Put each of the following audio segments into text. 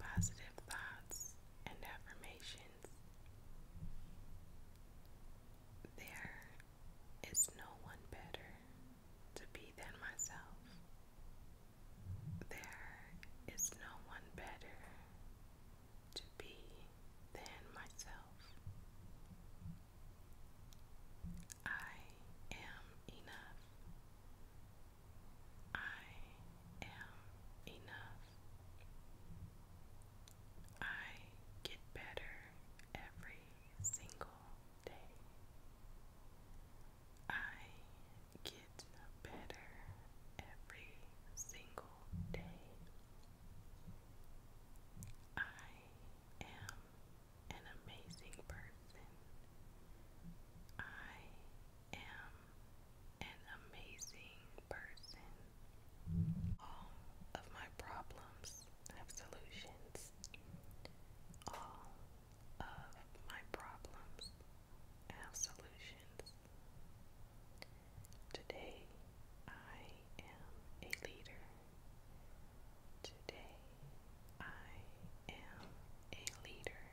Positive thoughts and affirmations. There is no one better to be than myself. There is no one better to be than myself. I am enough. I am enough. I get better every single day. I get better every single day. I am an amazing person. I am an amazing person. All of my problems have solutions. All of my problems have solutions. Today, I am a leader. Today, I am a leader.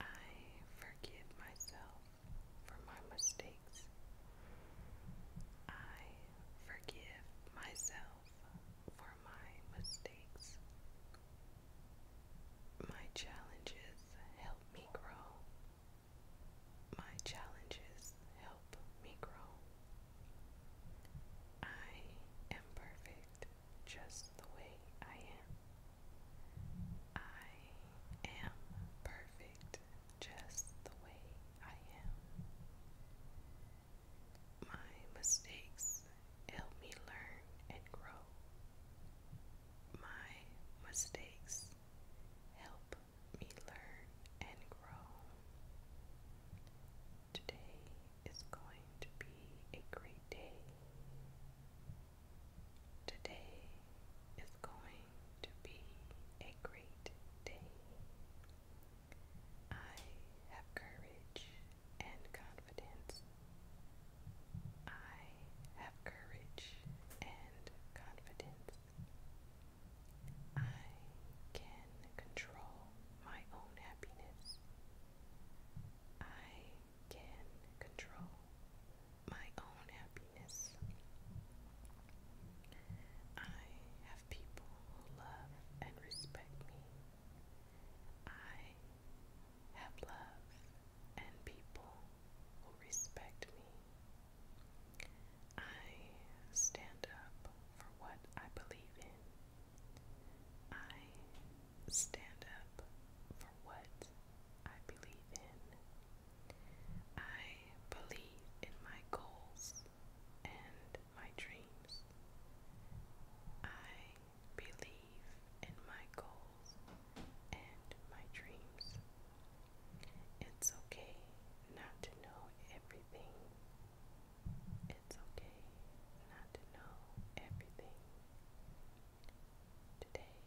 I forgive myself for my mistakes. I forgive myself for my mistakes. My challenges help me grow. My challenges help me grow. I am perfect just the way I am. I am perfect just the way I am. My mistakes help me learn and grow. My mistakes help me learn and grow. Today is going to be a great day. Today is going to be a great day. I have courage and confidence. I have courage and confidence. I can control my own happiness. I can control my own happiness. I have people who love and respect me. I have love and people who respect me. I stand up for what I believe in. I stand up for what I believe in. I believe in my goals and my dreams. I believe in my goals and my dreams. It's okay not to know everything it's okay not to know everything. Today,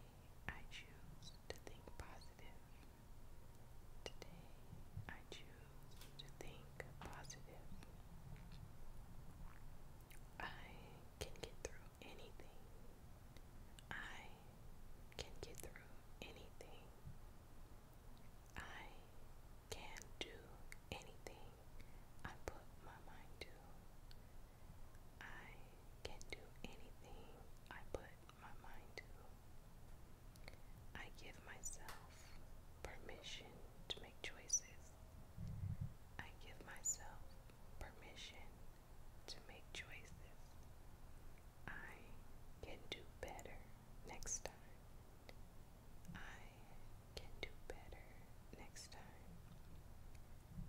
I choose to think positive. Today, I choose to think positive. I can get through anything. I can get through anything. I can do anything. I put my mind to. I can do anything I put my mind to. I give myself permission to make choices. I give myself permission to make choices. I can do better next time. I can do better next time.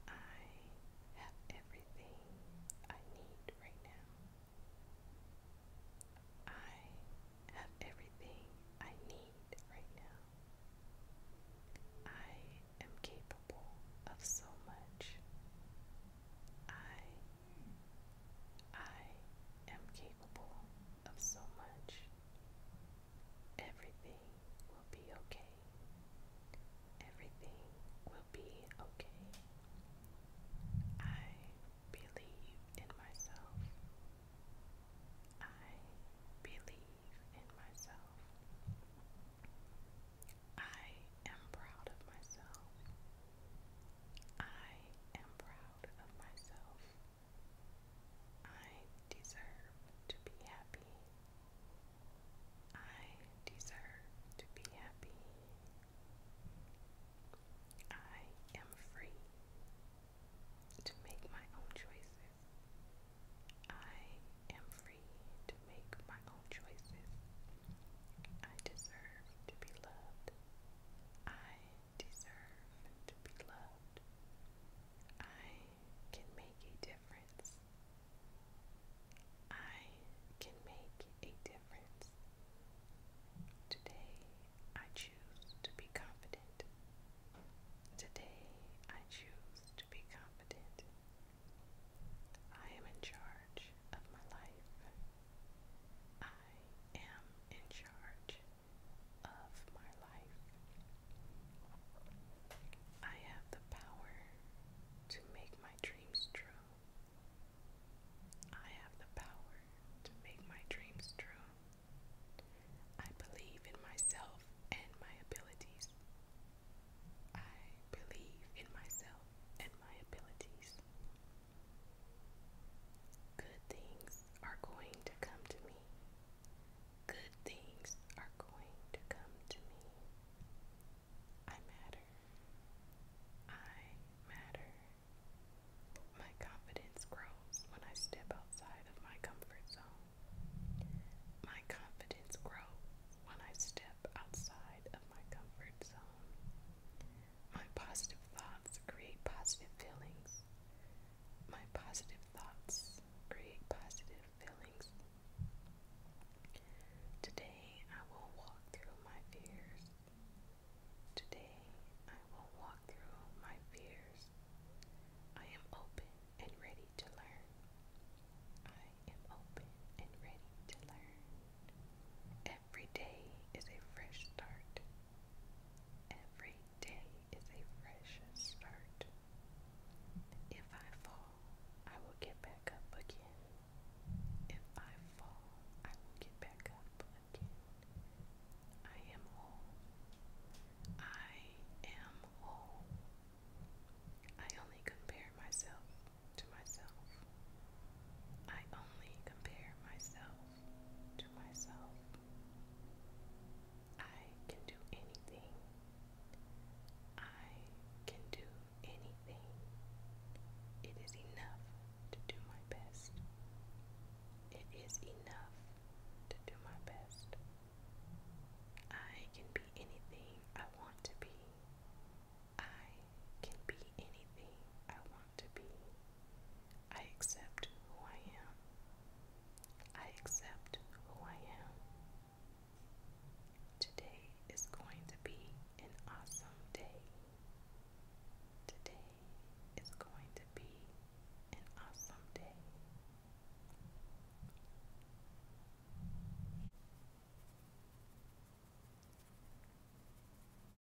I have everything I need right now. I have everything I need right now. I am capable of so much. I I am capable of so much. Everything will be okay. Everything will be okay. I believe in myself. I believe in myself. I am proud of myself. I am proud of myself. I deserve to be happy. I deserve to be happy. I am free to make my own choices. I am free to make my own choices. I deserve to be loved. I deserve to be loved. I can make a difference. I can make a difference. Today, I choose to be confident. Today, I choose to be confident. I am in charge of my life. I am in charge of my life. I have the power to make my dreams true. I have the power to make my dreams true. I believe in myself and my abilities. I believe in myself and my abilities. Good things are going to come to me. Good things are going to come to me. I matter. I matter. My confidence grows when I step outside of my comfort zone. My confidence grows when I step outside of my comfort zone. My positive thoughts create positive feelings. My positive thoughts create positive feelings. Today I will walk through my fears. Today I will walk through my fears. I am open and ready to learn. I am open and ready to learn. Every day is a fresh start. Every day is a fresh start. If I fall, I will get back up again. If I fall, I will get back up again. I am whole. I am whole. I only compare myself to myself. I only compare myself to myself. I can do anything. I can do anything. It is enough to do my best. It is enough to do my best. I can be anything I want to be. I can be anything I want to be. I accept who I am. I accept who I am. Today is going to be an awesome day. Today is going to be an awesome day.